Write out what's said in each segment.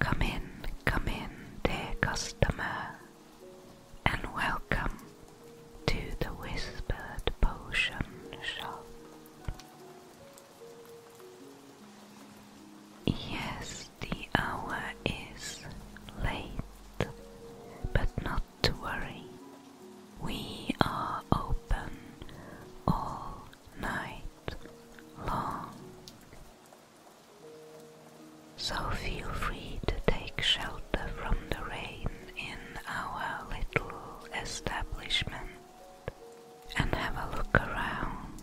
Come in, come in, dear customer, and welcome to the Whispered Potion Shop. Yes, the hour is late, but not to worry. We are open all night long. So feel free to take shelter from the rain in our little establishment and have a look around.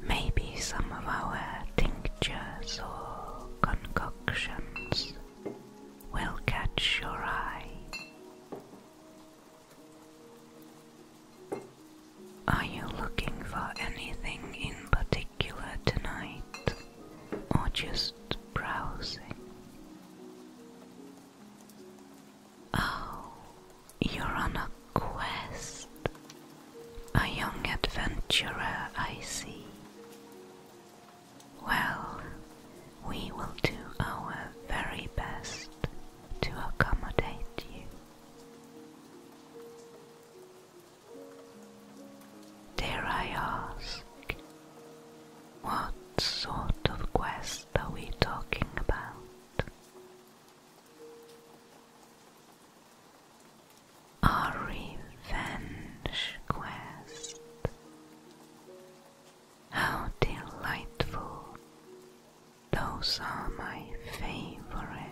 Maybe some of our tinctures or concoctions will catch your eye. Are you looking for anything in particular tonight, or just browsing? Oh, you're on a quest. A young adventurer, I see. Well, we will do our very best to accommodate you. Dare I ask, what sort of quest are we talking about? A revenge quest. How delightful those are my favorite.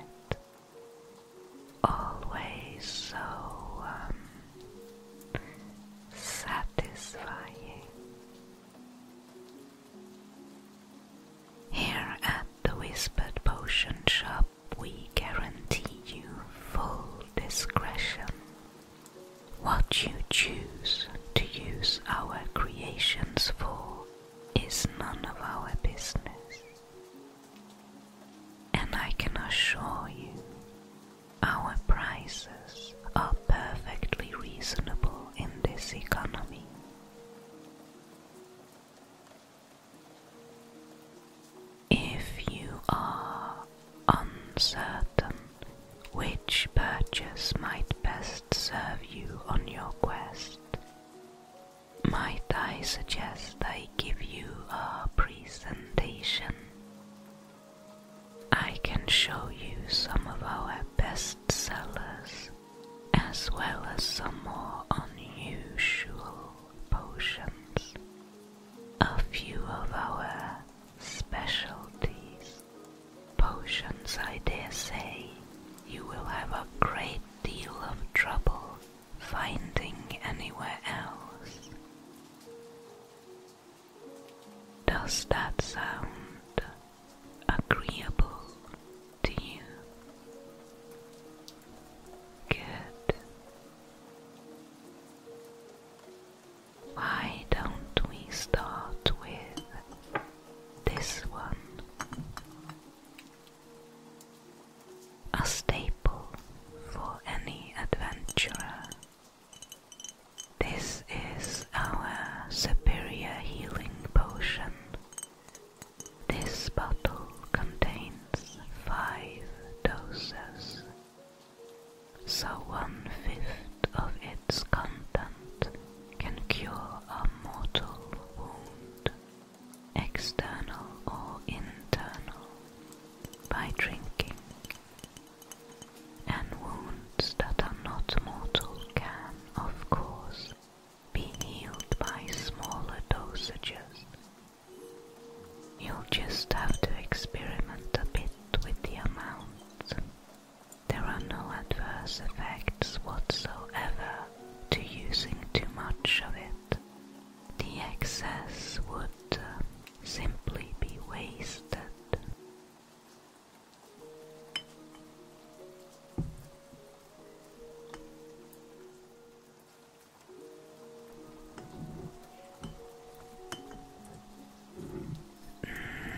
Always so um, satisfying. Here at the Whispered Potion Shop, we guarantee you full discretion. What you choose to use our creations for is none of our business. And I can assure you, our prices are perfectly reasonable in this economy. If you are uncertain which purchase might best serve you on your quest, might I suggest I give you a presentation? I can show you some of our best sellers as well as some more unusual potions. A few of our specialties. Potions, I dare say, you will have a great deal of trouble finding anywhere else. Does that sound agreeable to you? Good. Why don't we start with this one? a staple for any adventurer. This is our superior healing potion. This bottle contains five doses, so one fifth of its content can cure a mortal wound external or internal, by drinking, and wounds that are not mortal can, of course, be healed by smaller dosages. You'll just have to experiment a bit with the amount. There are no adverse effects whatsoever to using too much of it. The excess would uh, simply be wasted.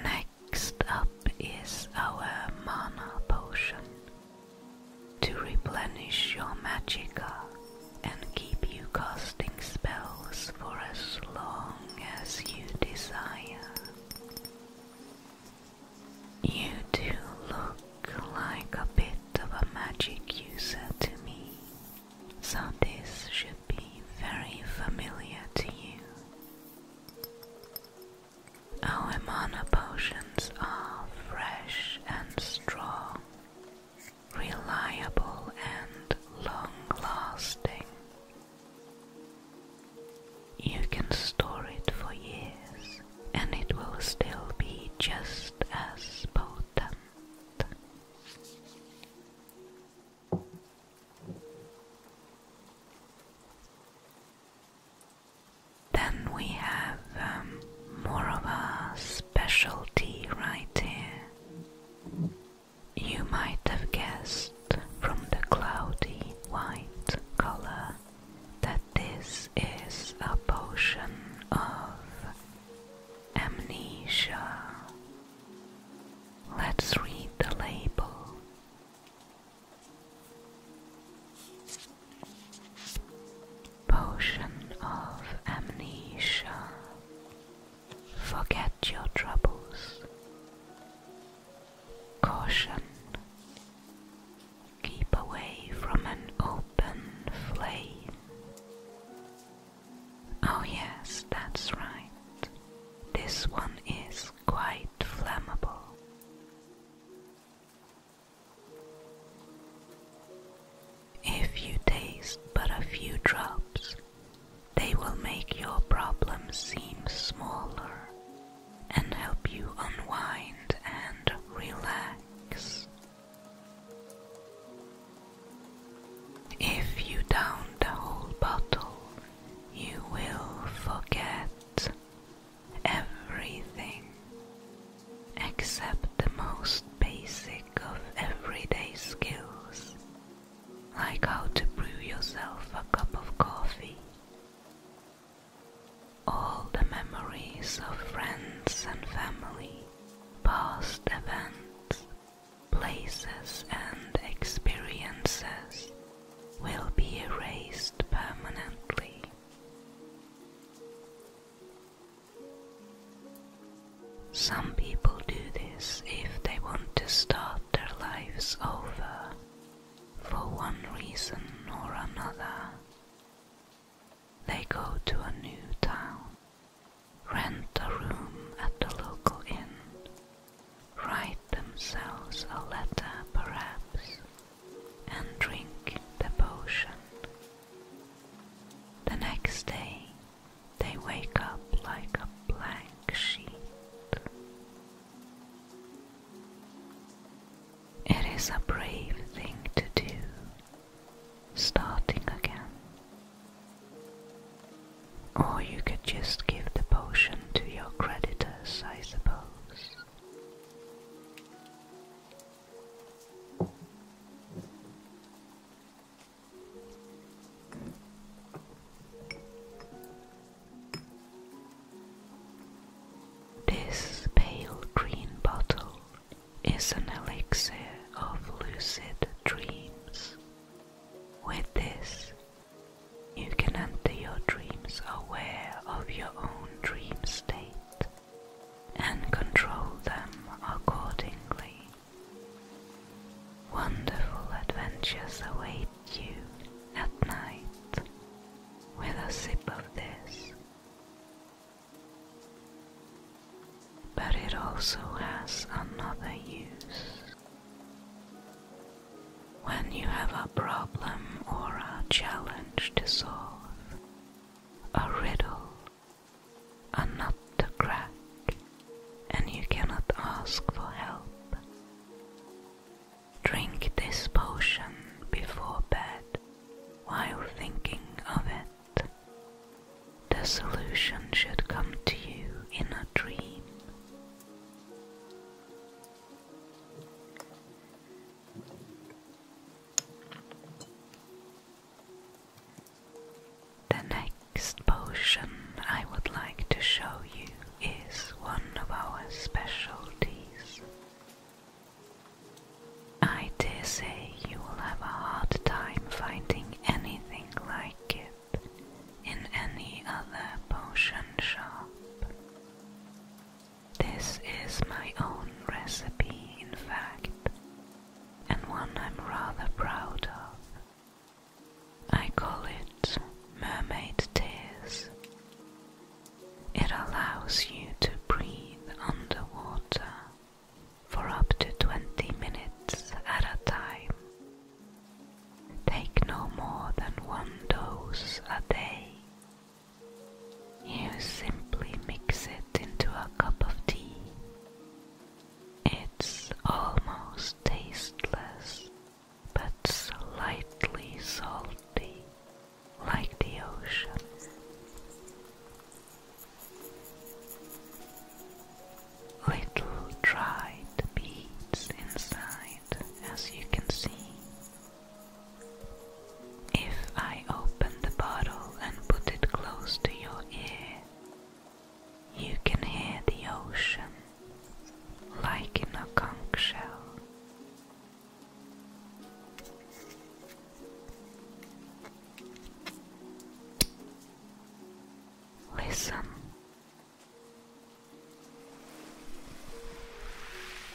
Next up is our mana potion to replenish your magica and keep you casting spells for as long as you desire. You do look like a bit of a magic user to me, so this should be very familiar to you. Our oh, mana potions are fresh and strong, reliable and long-lasting. You can store it for years and it will still be just as potent. Then we have um, more of a specialty right here. You might have guessed from the cloudy white color that this is a potion of amnesia. Let's read the label. Potion of Amnesia. Forget your troubles. Caution. Keep away from an open flame. Oh, yes, that's right. This one is quite flammable. If you taste but a few drops, they will make your problems seem smaller and help you unwind and relax. If you down the whole bottle, you will forget everything except the most basic of everyday skills, like how to brew yourself a cup of coffee. All the memories of friends and family, past events, places, and experiences will be erased permanently. Some people do this if they want to start their lives over for one reason or another. They go to a new town, rent a room at the local inn, write themselves a letter perhaps, and drink the potion. The next day, they wake up like a blank sheet. It is a brave thing to do, starting again. Or you could just give the potion to your creditors, I suppose. This pale green bottle is an elixir of lucid dreams. With this, you can enter your dreams aware of your own dream state and control them accordingly. Wonderful adventures await you at night with a sip of this. But it also has another use. When you have a problem or a challenge to solve, a riddle, a nut to crack, and you cannot ask for help. Drink this potion before bed while thinking of it. The solution should come to you in a dream. The next potion I would like to show you is one of our specialties. I dare say you will have a hard time finding anything like it in any other potion shop. This is my own recipe, in fact, and one I'm rather proud of. I call it Mermaid Tears. It allows you to breathe underwater for up to 20 minutes at a time. Take no more than one dose a day, you simply mix it into a cup of tea. It's almost tasteless, but slightly salty, like the ocean. Little dried beads inside, as you can see. If I open the bottle and put it close to your ear, you can hear the ocean like in a conch shell. Listen.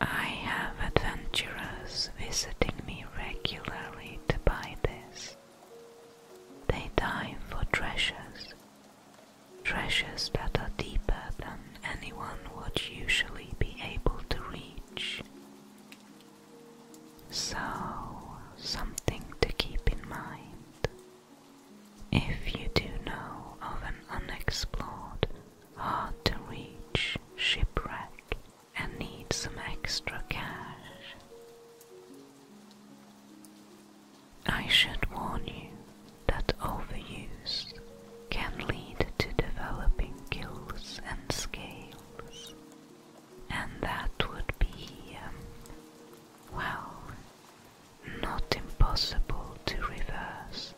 I have adventurers visiting me regularly to buy this. They dive for treasures, treasures that are deeper than anyone would usually be able to reach. So, something to keep in mind. If you do know of an unexplored, hard to reach shipwreck and need some extra cash, I should warn you that overuse can lead to developing gills and scales, and that would be, um, well, not impossible to reverse,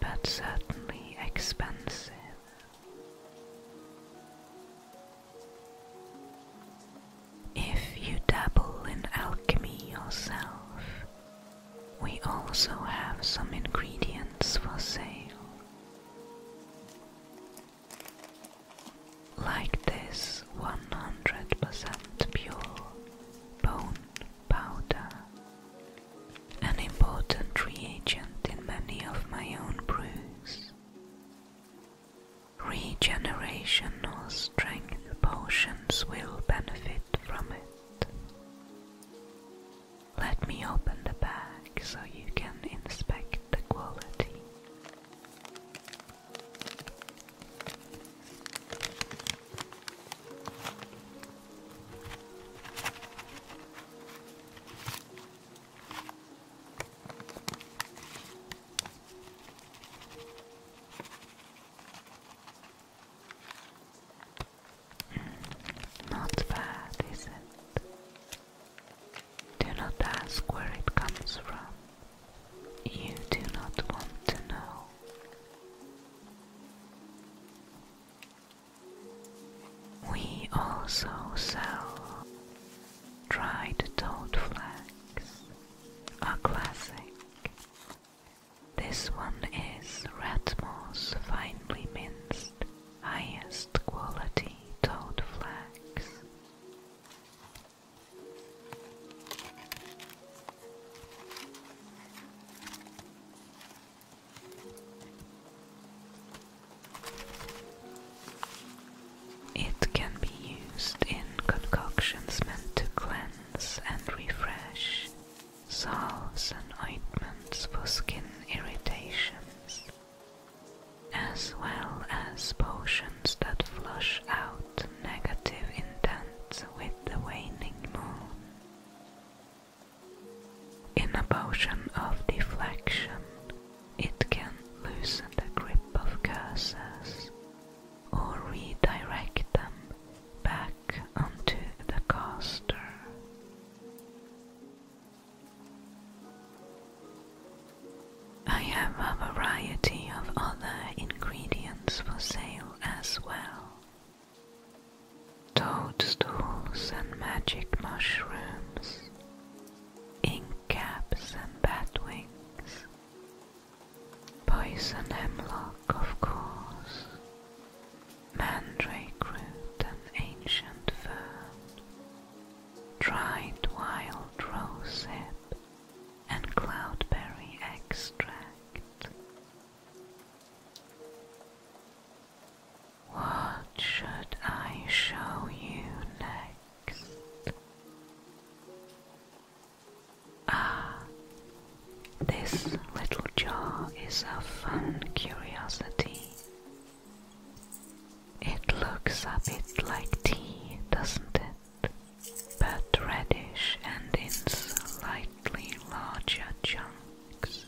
but certainly expensive. If you dabble in alchemy yourself, we also have some ingredients for sale like this 100% pure bone powder. An important reagent in many of my own brews. Regeneration or strength potions will benefit from it. Let me open the bag so you can inspect the quality. Not bad, is it? Do not ask where it comes from you do not want to know. We also sell dried toad flags, a classic. This one is rat moss, finely minced, highest quality toad flags. It can be used in concoctions meant to cleanse and refresh, salves and ointments for skin irritations, as well as potions that flush out negative intent with the waning moon. In a potion of deflection, it can loosen the grip of curses or redirect them back onto the caster. I have a variety of other ingredients for sale as well. Toadstools and magic mushrooms, ink caps and batwings, poison hemlock, of course, mandrake root and ancient fern, dried wild rosehip, and cloudberry extract. What should I show you next? Ah, this little jar is a fun curiosity. It looks a bit like tea, doesn't it? but reddish and in slightly larger chunks.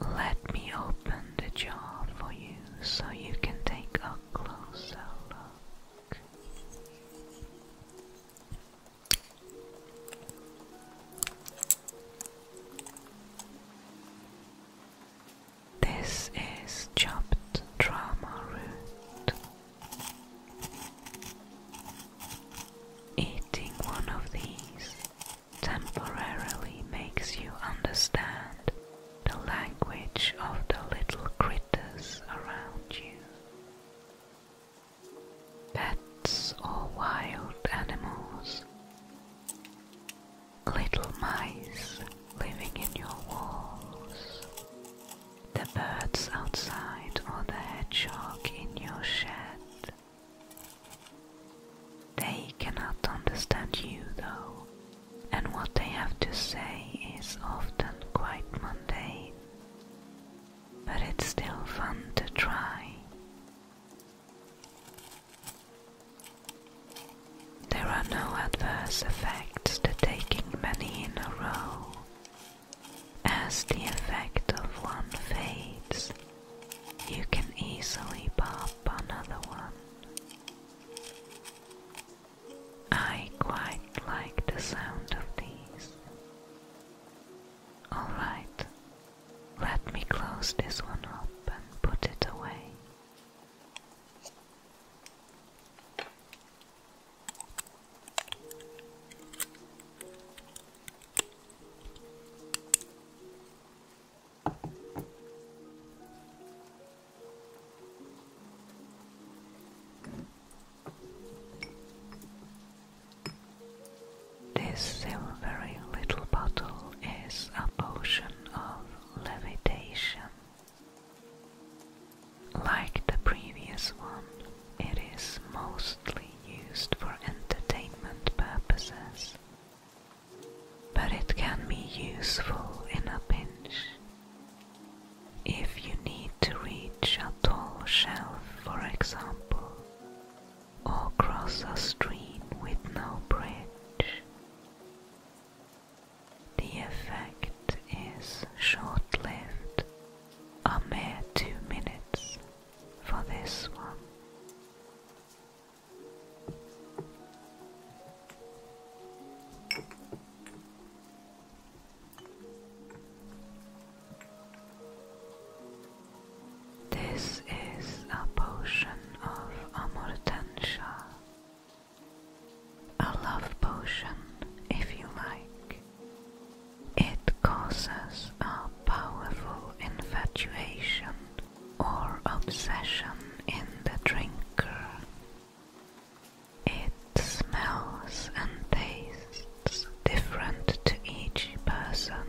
Let me open the jar for you so you can take a closer look. This is chopped drama root. Eating one of these temporarily makes you understand the language of the little critters around you. Pets or wild animals, little mice living in your walls, the birds outside or the hedgehog in your shed. They cannot understand you though, and what they have to say is often quite mundane. But it's still fun to try. There are no adverse effects to taking many in a row. As the effect of one fades, you can easily pop another one. I quite like the sound of these. Alright, let me close this one up and put it away. This silvery little bottle is a potion of levitation. Like the previous one, it is mostly used for entertainment purposes, but it can be useful in a pinch. If you need to reach a tall shelf, for example, or cross a stream with no bridge, the effect is short lived, a mere two minutes for this one. This is a potion of Amortensia, a love potion, if you like. It causes a powerful infatuation or obsession in the drinker. It smells and tastes different to each person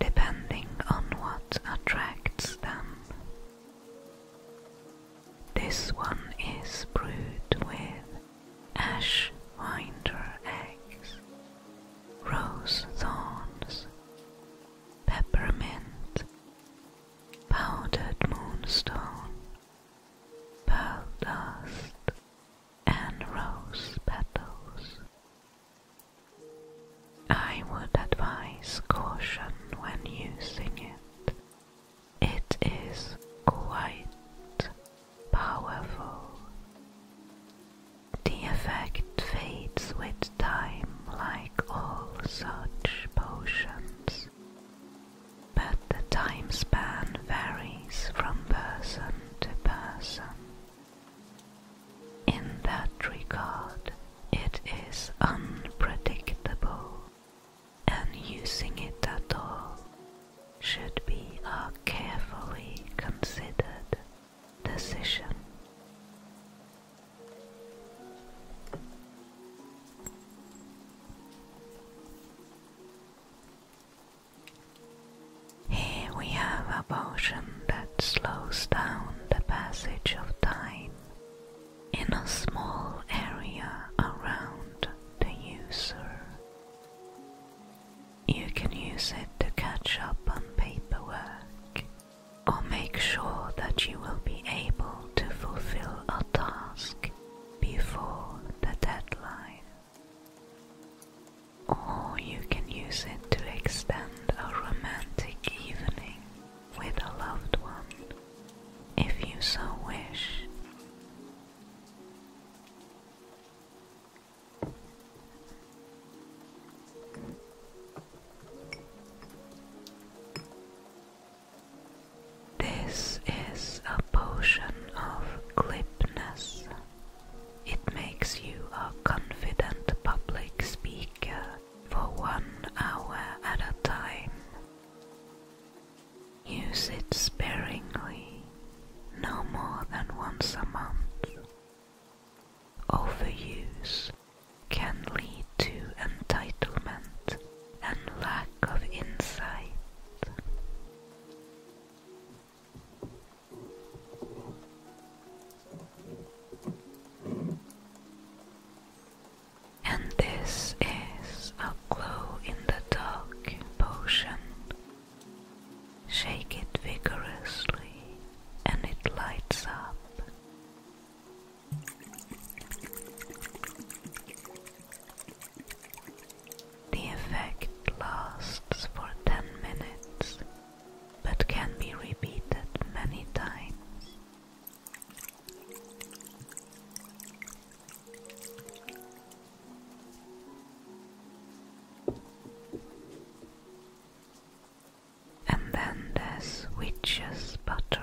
depending on what attracts them. This one is brewed with ash winder eggs, rose thorns, peppermint, powdered moonstone, pearl dust, and rose petals. I would advise caution when using it, it is quite powerful. The effect fades with time, like all such potions, but the time span varies from person to person. In that regard, it is unpredictable and using it at all should be a carefully considered decision. Here we have a potion that slows down the passage of time in a small area around the user. You can use it to catch up on paperwork or make sure that you will be able to fulfill a task before the deadline. Or you can use it to extend a romantic evening with a loved one if you so wish. This is a potion of glibness. It makes you a confident public speaker for one hour at a time. Use it sparingly, no more than once a month. Overuse can lead to entitlement and lack of insight. And this is a glow in the dark potion. Shake it vigorously and it lights up. The effect lasts for 10 minutes but can be repeated many times. And then there's witch's butter.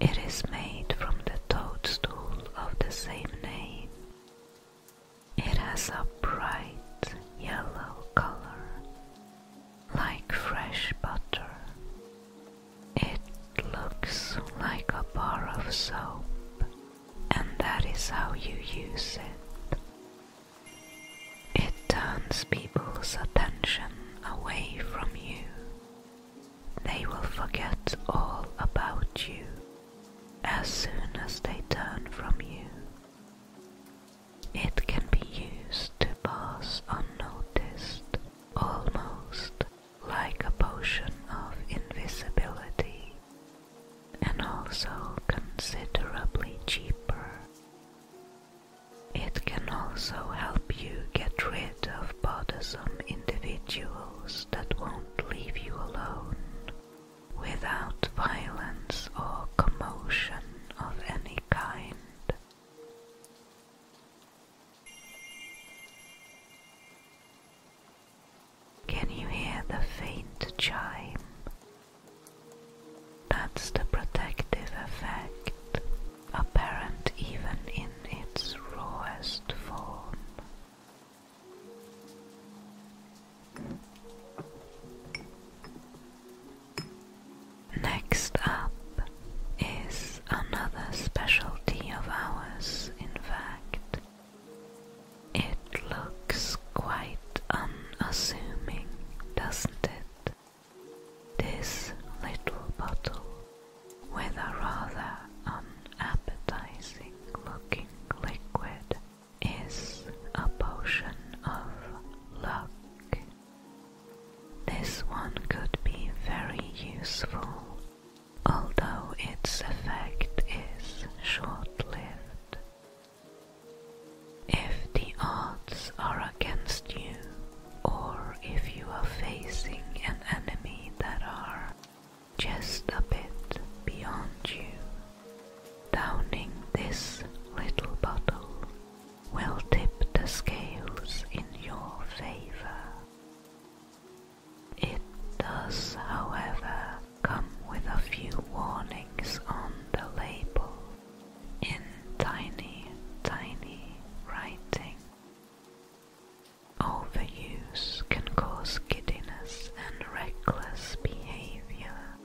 It is made from the toadstool of the same name. It has a bright yellow color, like fresh butter, it looks like a bar of soap, and that is how you use it. It turns people's attention away from you. They will forget all about you as soon as they turn from you. It can be used to pass unnoticed almost like a potion of invisibility and also considerably cheaper. It can also help you get rid of bothersome individuals that won't leave you alone without violence or commotion of any kind. Can you hear the faint chime? That's the protective effect, apparent even in its rawest form. Next up is another specialty of ours, in fact. It looks quite unassuming, doesn't it? This little bottle with a rather unappetizing looking liquid is a potion of luck. This one could be very useful although its effect is short-lived. If the odds are against you, or if you are facing an enemy that are just a bit beyond you, downing this little bottle will tip the scales in your favor. It does, however, come with a few warnings on the label in tiny, tiny writing. Overuse can cause giddiness and reckless behavior.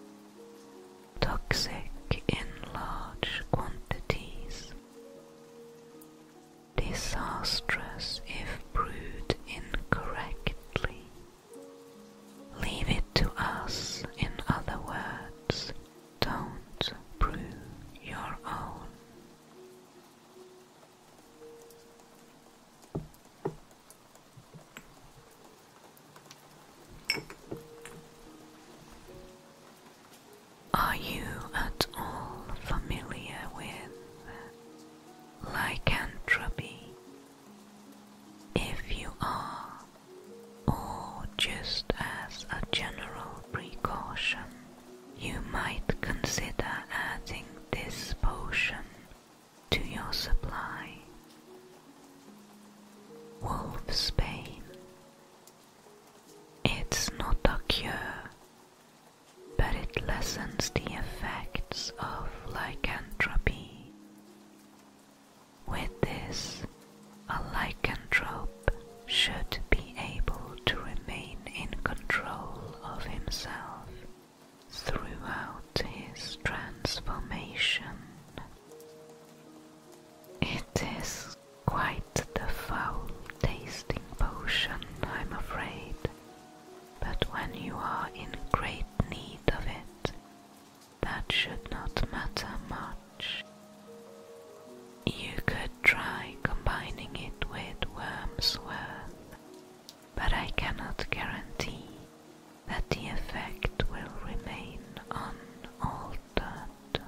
Toxic in large quantities disastrous if brewed incorrectly. Leave it to us, in other words, don't brew your own. Are you at all familiar with lycanthropy? If you are, or just as a general precaution, you might consider adding this potion to your supply. Wolfsbane. It's not a cure, but it lessens the effects of lycanthropy. With this, a lycanthrope should be able to remain in control of himself throughout his transformation. It is Quite the foul-tasting potion, I'm afraid, but when you are in great need of it, that should not matter much. You could try combining it with Wormsworth, but I cannot guarantee that the effect will remain unaltered.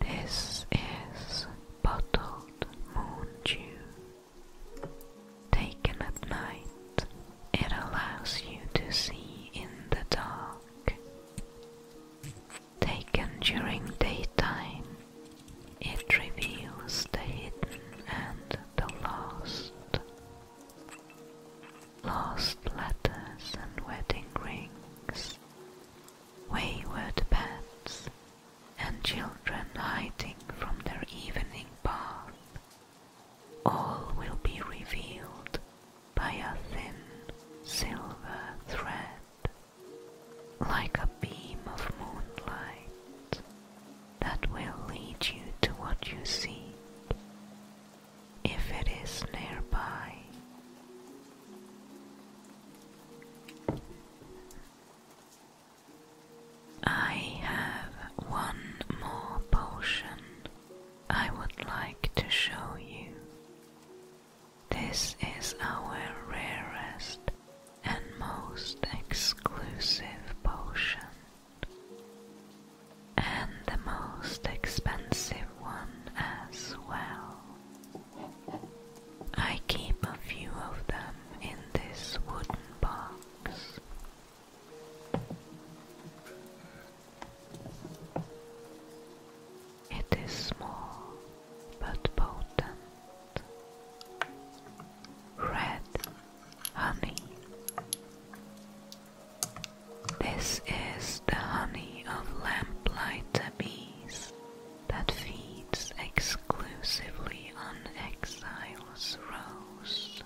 This is bottled moon dew. Taken at night, it allows you to see in the dark. Taken during daytime, it reveals the hidden and the lost lost letters and wedding rings, wayward pets, and children hiding from their evening bath. All will be revealed by a thin silver thread, like a beam of moonlight that will lead you to what you seek if it is nearby. I have one more potion I would like to show you. This is our rarest and most exclusive potion and the most expensive one as well. I keep a few of them in this wooden box. It is small but potent. Red honey. This is the honey of lamplighter bees that feeds exclusively on exile's rose.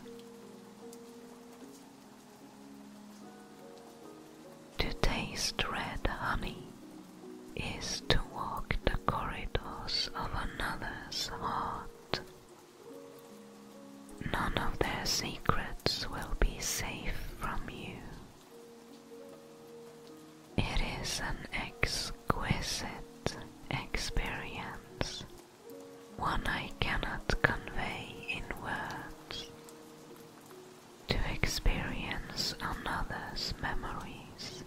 To taste red honey is to walk the corridors of another's heart None of their secrets will be safe from you. It is an exquisite experience, one I cannot convey in words. To experience another's memories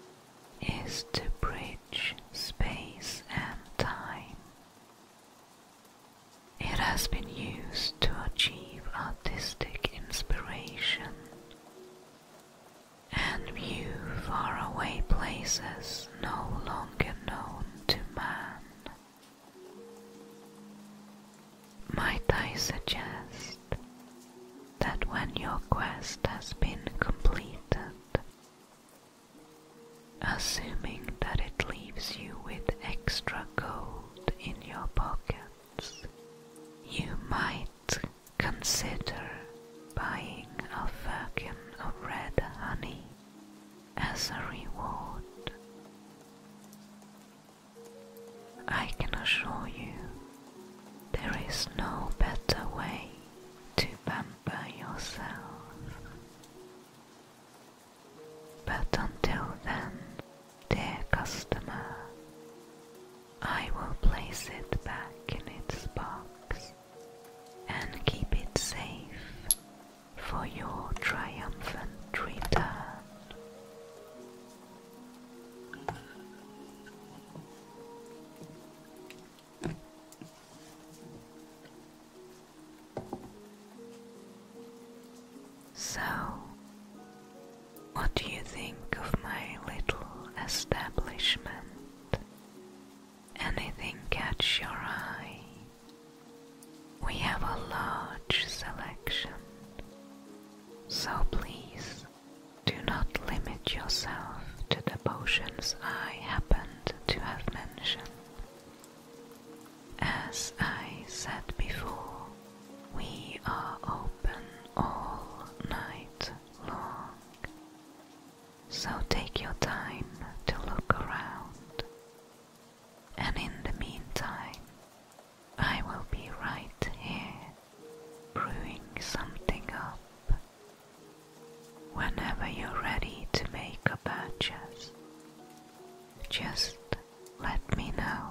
is to bridge space and time. It has been used to achieve artistic inspiration and view faraway places no longer known to man. Might I suggest that when your quest has been completed, assuming that it leaves you with extra gold in your pockets. You might consider buying a firkin of red honey as a reward. I can assure you there is no better way to pamper yourself but until then, dear customer, I will place it back in its box and keep it safe for your triumphant return. So, what do you think of my little establishment? Anything catch your eye? We have a large selection, so please do not limit yourself to the potions I happened to have mentioned. As I said before, we are open all night long. So take your time to look around. And in the meantime, I will be right here brewing something up Whenever you're ready to make a purchase, just let me know.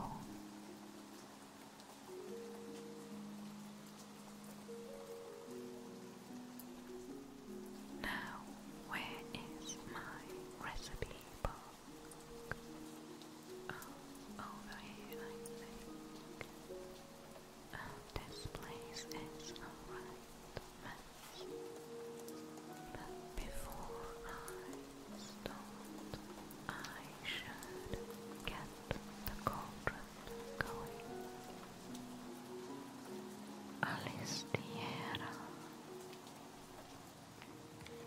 Now, where is my recipe book? Oh, over here, I think. Oh, this place is alright. But before I start, I should get the cauldron going. Alistiera.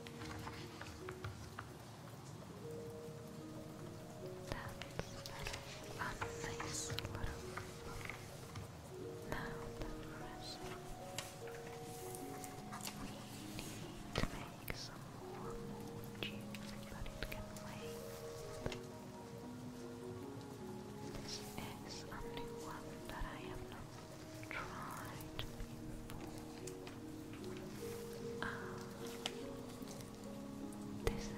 That's better on this now that pressing, we need to make some more juice, but it can wait. This is a new one that I have not tried before. this is it.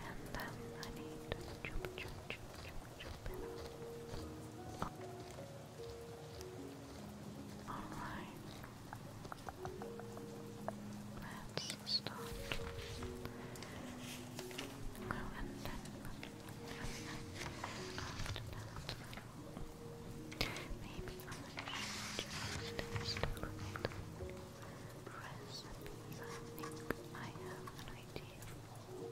And then I need to jump, jump, jump, jump, jump in. Alright. Let's start. and then after that maybe I should just look at recipes I think I have an idea for.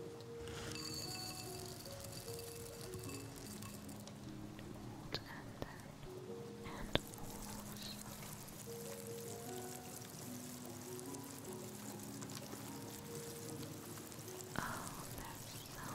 And then, and also Oh, there's so much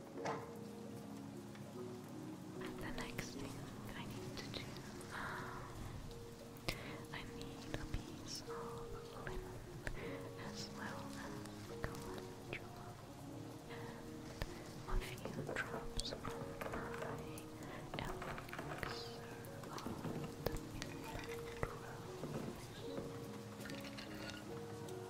The next thing I need to do, um, I need a piece of linen as well as a few drops from elixir of the midnight rose.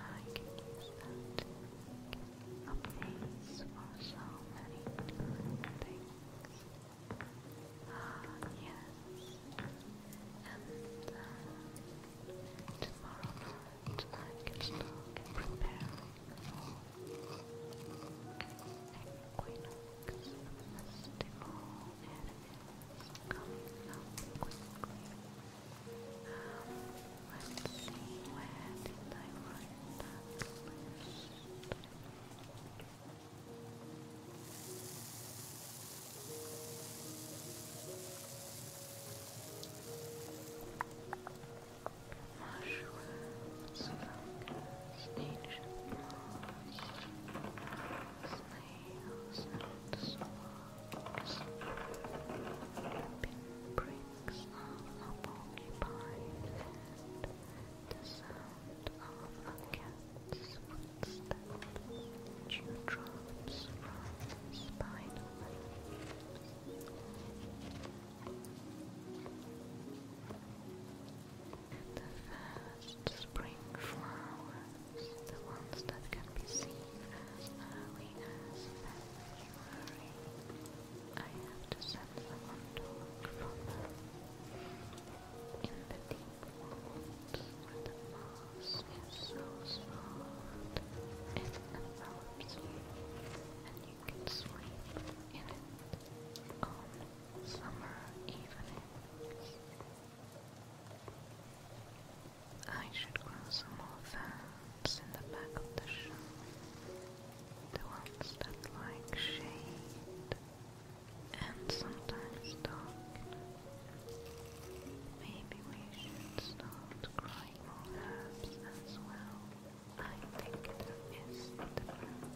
I can use that for so many things. Ah, yes. And uh, tomorrow night I can start preparing for equinox festival and it's coming let's see, where did I write that list? Mushrooms, nails and slugs, pinpricks of a porcupine's the sound of a cat's footsteps, dewdrops from spider webs. The first spring flower the ones that can be seen as early as February. I have to send someone to look for in the deep woods the moss is so soft it envelops you and you can sleep in it on summer evenings. I should grow some more fans in the back of the show. The ones that like shade and sometimes dark. Maybe we should start crying more herbs as well. I think there is the ground.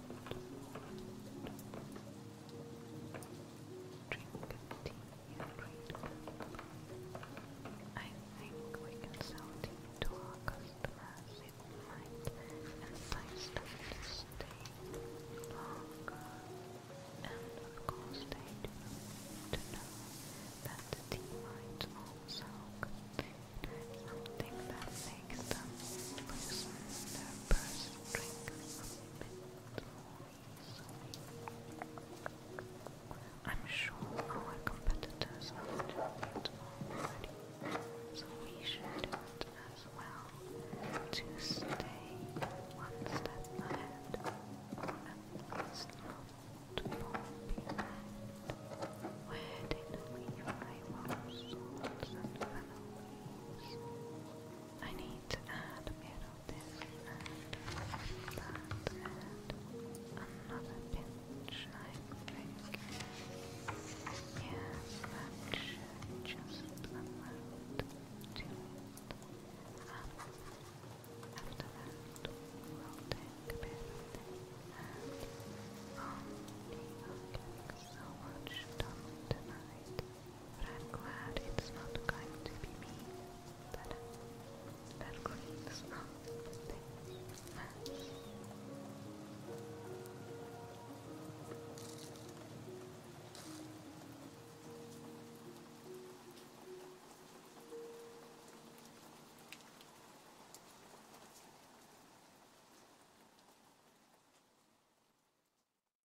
Drink tea, drink I think we can sell tea to our customers. It might entice them to stay longer. And of course to know that tea might also contain something that makes them loosen their purse strings a bit I'm sure our competitors are doing it already, so we should do it as well to stay one step ahead, or at not to Where did we our swords and fellows? I need to add a bit of this that and another pinch, I think. Yes, that should just amount to it. after that, we'll take a bit of this and on the um, so much done tonight. But I'm glad it's not going to be me that that cleans up